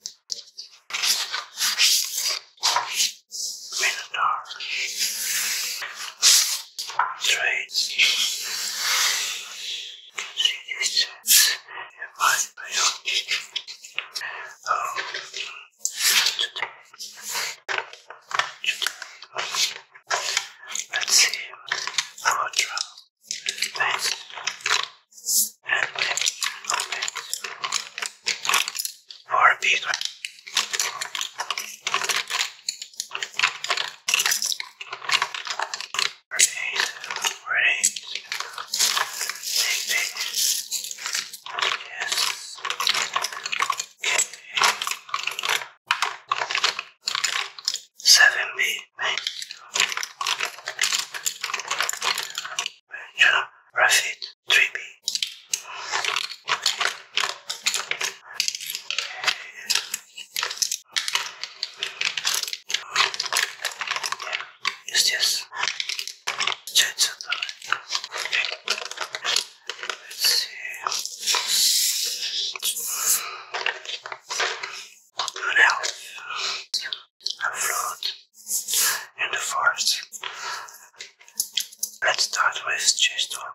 Minotaur. Trade. Consideration. Advice by Oh. Today. Today. Let's see. Our trial. Thanks and let's open for Yes. Okay. Seven B. Benjamin Rafid Dreamy. Yeah, it's just What do A float in the forest. Let's start with chest one.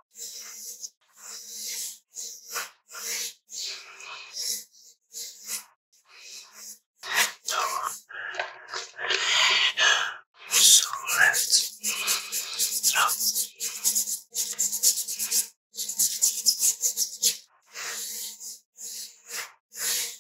So, so left,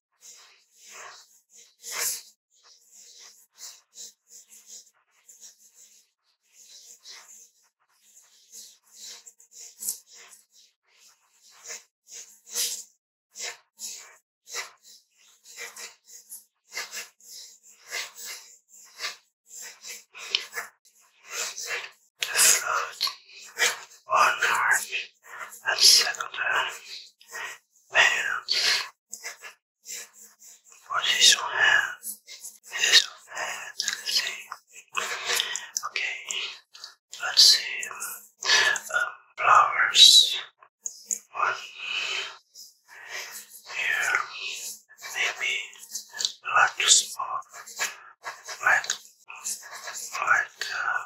That's good. One arm. That's second hands, position hands, let's see. Okay, let's see. Um, flowers. One here, maybe like to smoke, like, like, uh,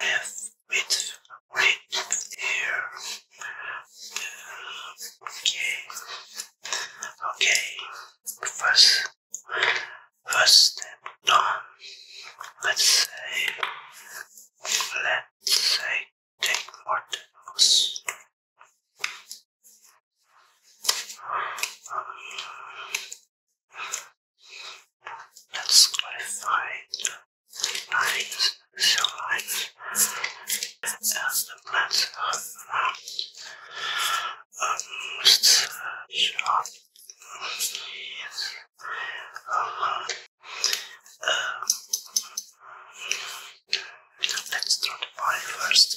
Yes, it's right here. Okay. Okay. First, first step done. Let's say, let's say, take more tangles. Um, Let's clarify lines, cell lines, and the plants around almost sharp. Uh, um, uh, let's draw the body first.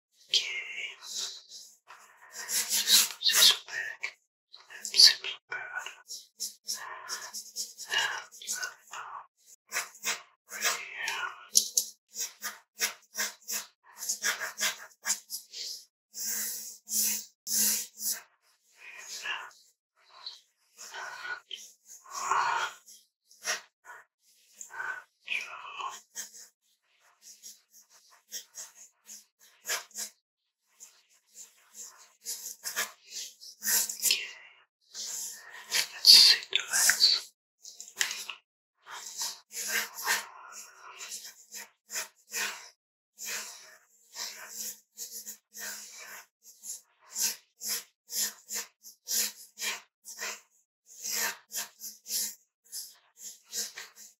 Okay. Just this back. That seems good. And um, right here. And, uh, uh, Let's sit, relax.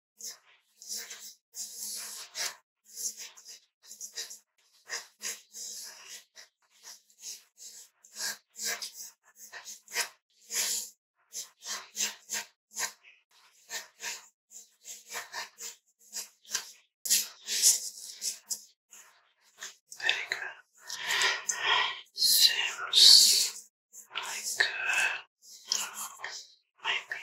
Very good. Seems like uh, maybe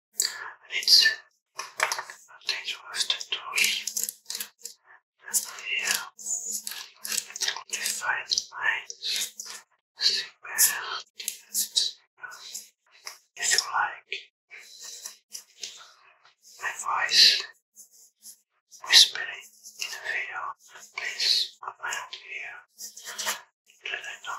and it's attached with the tools and here if you like my voice whispering in a video please comment here let I know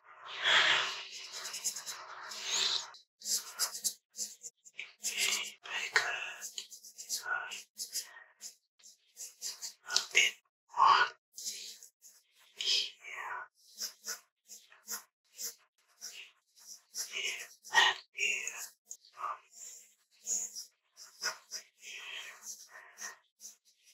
Very good. A bit more. Here. Here and here.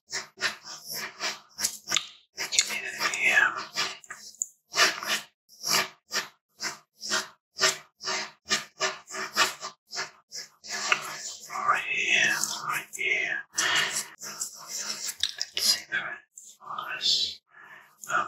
Yeah. Right here, right here. Let's see the rest. Um,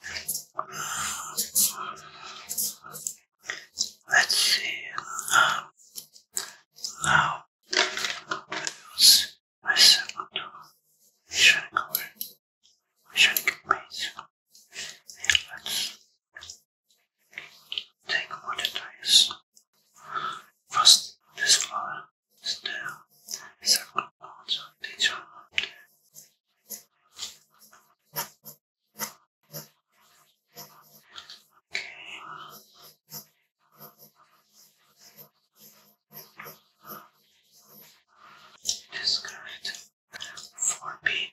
Let's see. Um, now, use my second shining away, shining base. And let's take one that is first this flower, still, second also this one. Disconnect four B.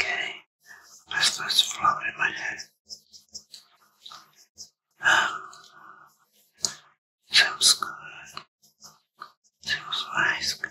Okay, let's flower in my head. Um, sounds good. Sounds nice, good.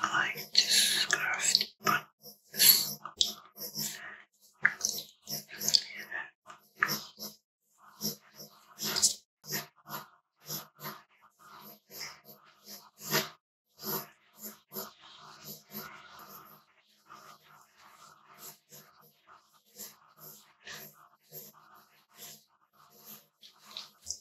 I like this craft, but this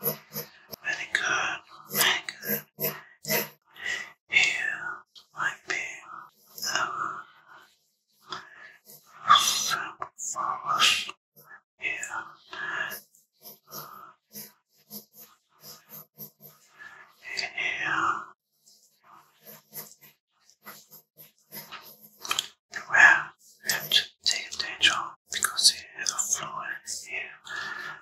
Very good, Here might be our sample here. In here, you take a danger because it is a floor here.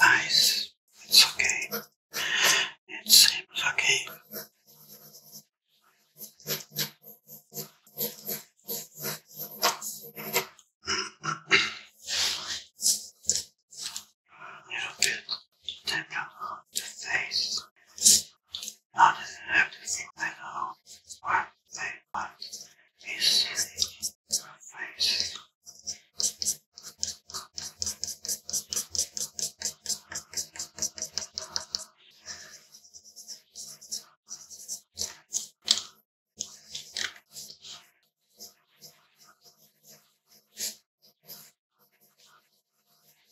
Nice. It's okay. It seems okay. A little bit tap on the face not deserve to think like home, or they want be silly or face.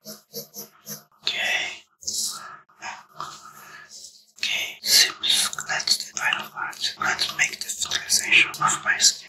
Okay. Okay, seems that's the final part. Let's make the finalization of my skin.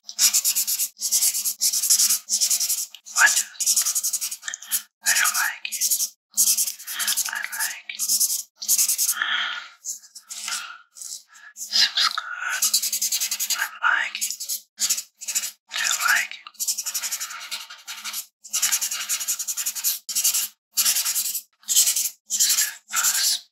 What? I don't like it. I like it. Seems good. I like it. I like it. Is that purse?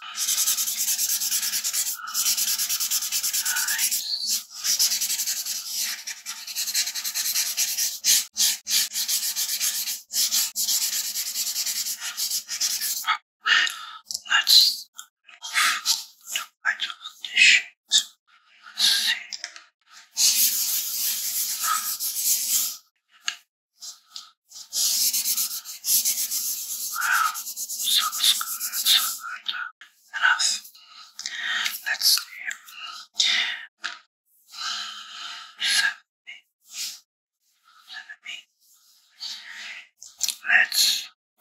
Let's do my condition. Let's see. Wow, sounds good, sounds good. Enough. Let's see. Let's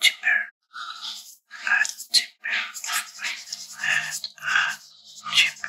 tipper. Let's tipper. Let's tipper.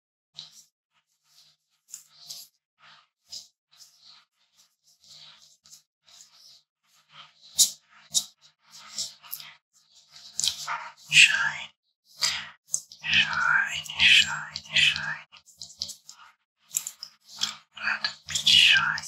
Shine, shine, shine, shine. Let me shine.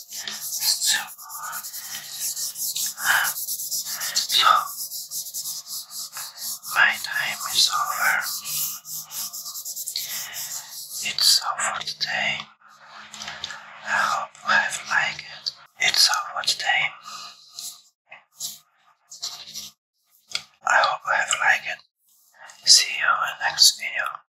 So, my time is over. It's all today. I hope you have liked it. It's all today. I hope you have liked it. See you in next video.